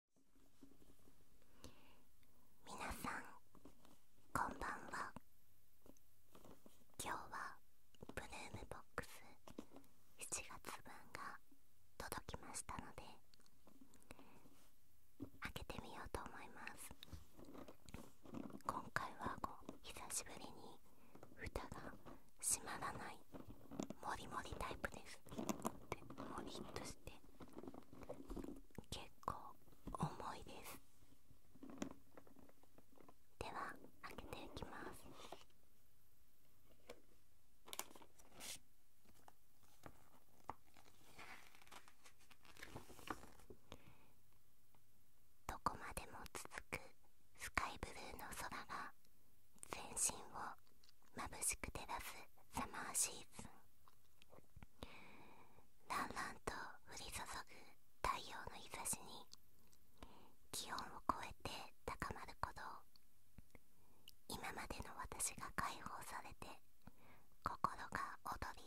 皆さんこんばんは今日はブルームボックス7月分が届きましたので開けてみようと思います今回はこう久しぶりに蓋が閉まらもりもりタイプですでモリッとして結構重いですでは開けていきますどこまでも続くスカイブルーの空が全身をまぶしく照らすサマーシーズンらんらんと降り注ぐ太陽の日差しに気温を超えて高まる鼓動今までの私が解放されて心が躍り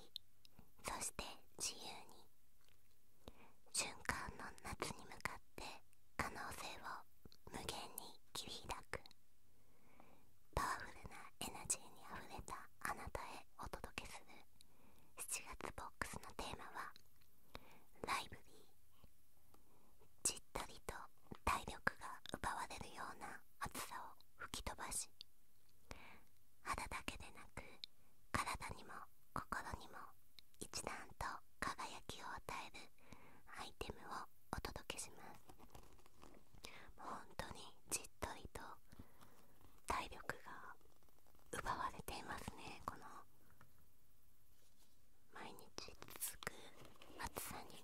そして自由に循環の夏に向かって可能性を無限に切り開くパワフルなエナジーにあふれたあなたへお届けする7月ボックスのテーマは「ライブリー」じったりと体力が奪われるような暑さを吹き飛ばし肌だけでなく体にも心にも一段と輝きを与えるアイテムをお届けします本当にじっとりと体力が奪われていますねこの毎日続く暑さに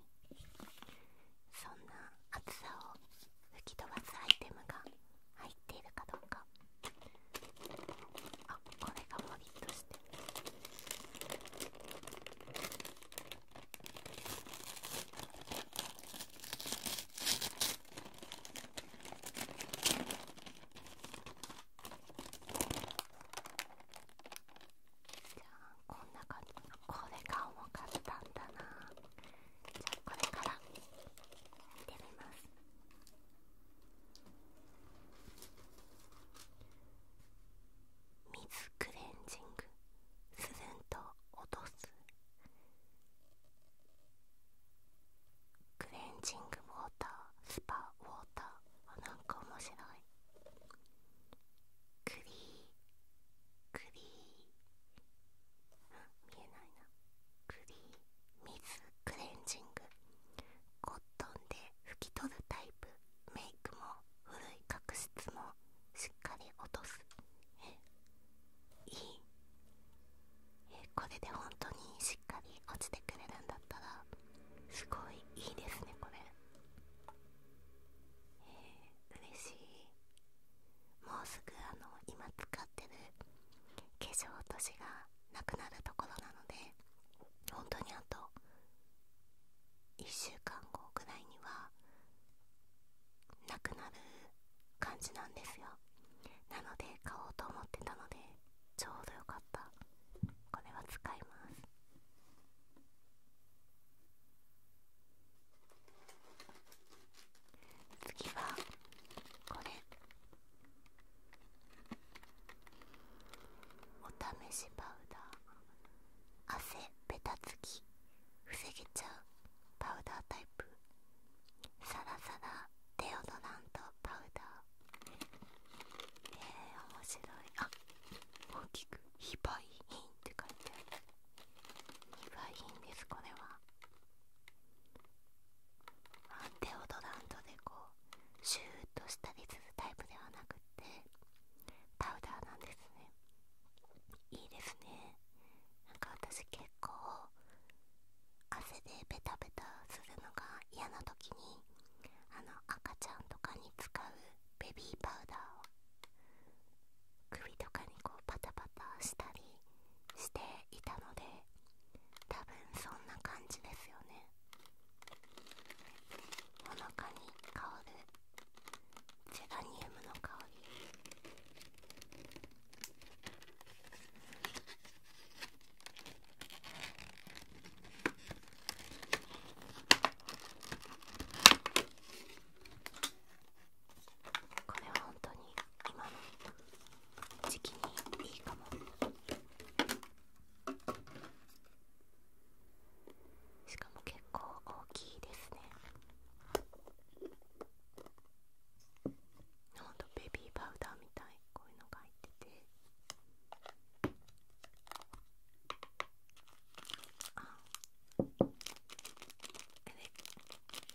そんな暑さを吹き飛ばすアイテムが入っているかどうかあこれがモリッとしてこんな感じこれが重かったんだなじゃあこれから見てみます。水クレンジングするんと落とすクレンジングウォータースパウォーターあなんか面白いクリークリー見えないなクリー水クレンジングコッットで拭き取るタイプメイクも古い角質もしっかり落とすえいいえこれで本当にしっかり落ちてくれるんだったらすごいいいですねこれえー、嬉しいもうすぐあの今使ってる化粧落としがなくなるところなので本当にあと1週間後ぐらいにはなくなる感じなんですよなので買おうと思ってたのでちょうどよかったこれは使います次はこれお試しパウダー汗べた。つき防げちゃうパウダータイプサラサラデオドラントパウダーえ面白いあ大きく「非売品」って書いてある非売品ですこれはアンテオドラントでこうシューッとしたりするタイプではなくってパウダーなんですねいいですねなんか私結構汗でベタベタするのが嫌な時にあの赤ちゃんとかに使うベビーパウダーを首とかにこうパタパタしたりしていたので多分そんな感じですよねおのかに香るジェラニウムの香りこれは本当に今の時期にいいかもしかも結構大きいですねほんとベビーパウダーみたいこういうのが入っててあえ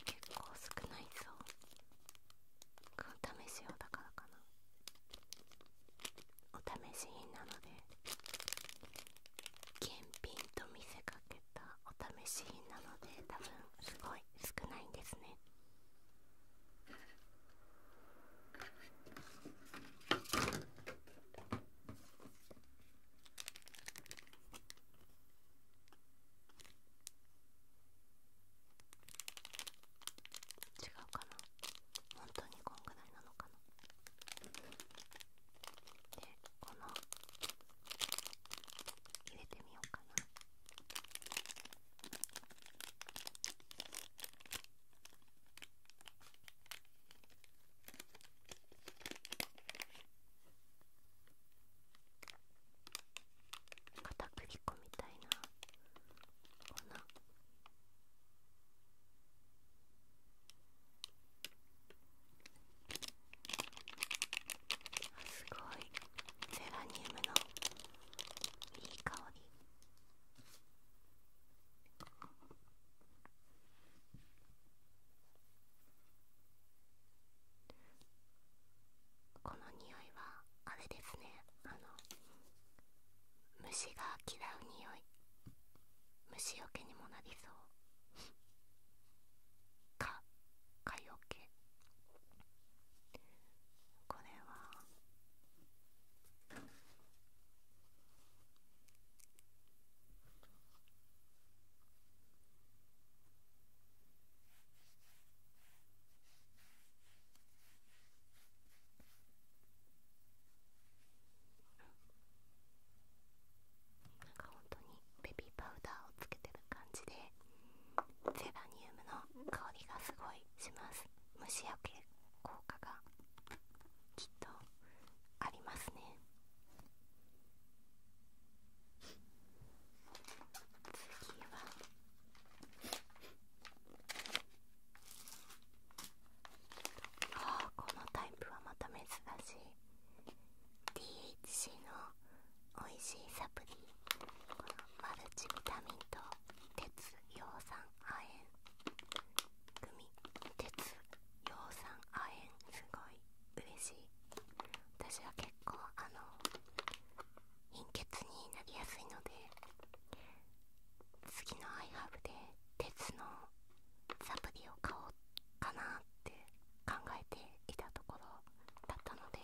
結構少ないぞお試し用だからかなお試し品なので検品と見せかけたお試し品なので多分すごい少ないんですね違うかな本当にこんぐらいなのかなでこの入れてみようかな片栗粉みたいな粉あすごいゼラニウムのいい香りこの匂いはあれですねあの虫が嫌う匂い虫よけにもなりそうか 蚊よけこれはなんか本当にベビーパウダーをつけてる感じでゼラニウムの香りがすごいします虫よけ効果がきっとありますね次はああこのタイプはまた珍しい D. h c の美味しいサプリマルチビタミンと鉄葉酸亜鉛組鉄葉酸亜鉛すごい嬉しい私は結構あの貧血になりやすいので次の i h u ブで鉄のサプリを買おうかなって考えていたところだったので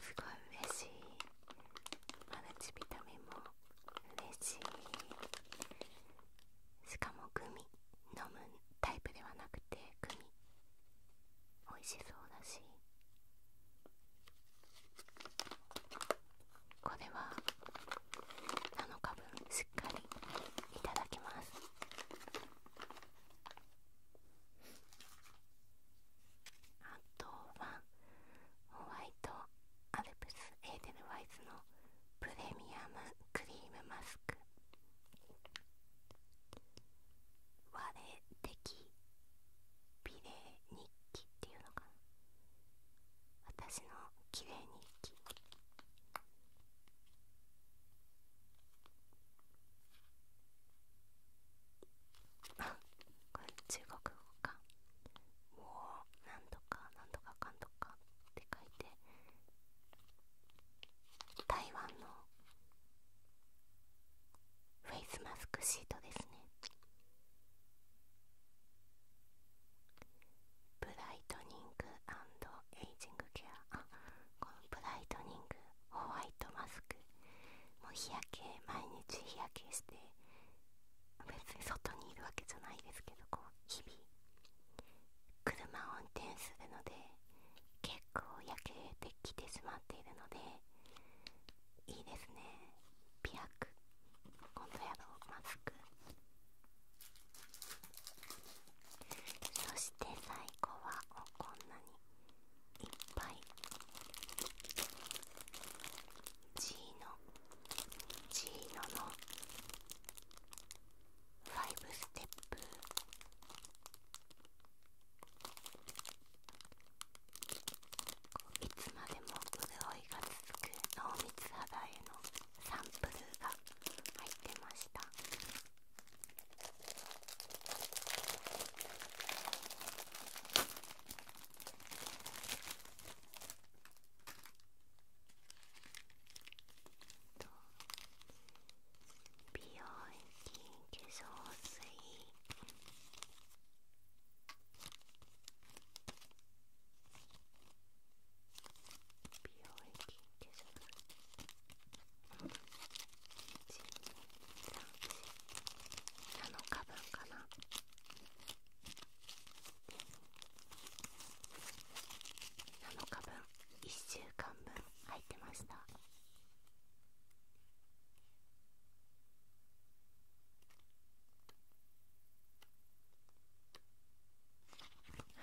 すごい嬉しいマルチビタミンも嬉しいしかもグミ飲むタイプではなくてグミ美味しそうだしこれは7日分しっかりいただきますあとはホワイトアルプスエーデルワイズのプレミアムクリームマスクれてき。美麗日記っていうのかな私の綺麗日記あ これ中国語かもう何んとか何んとかかんとかって書いて台湾のフェイスマスクシートですねブライトニングエイジングケアこのブライトニングホワイトマスクもう日焼け毎日日焼けして別に外にいるわけじゃないですけどこう日々車を運転するので結構焼けてきてしまっているのでいいですね美白今度やろうマスクそして最後はこんなにいっぱいジーノジーノの5ステップいつまでも潤いが続く濃密肌へのサンプルが入ってましたと美容液化粧水美容液化粧水7日分かな7日分1週間分入ってましたは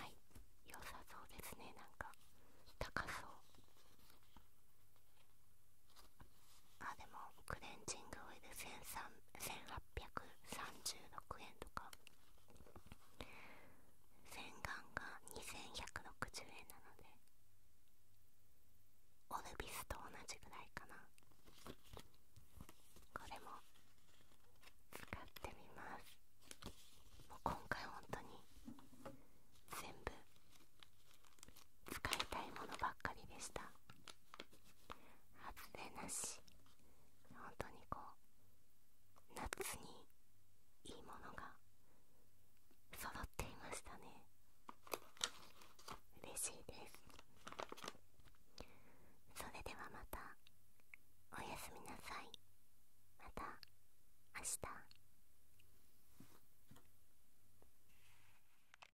い良さそうですねなんか高そうあでもクレンジングオイル 1800, 1800 836円とか洗顔が2160円なのでオルビスと同じぐらいかなこれも使ってみますもう今回本当に全部使いたいものばっかりでした外れなし本当にこう夏にいいものが揃っていましたね嬉しいですそれではまたおやすみなさいまた明日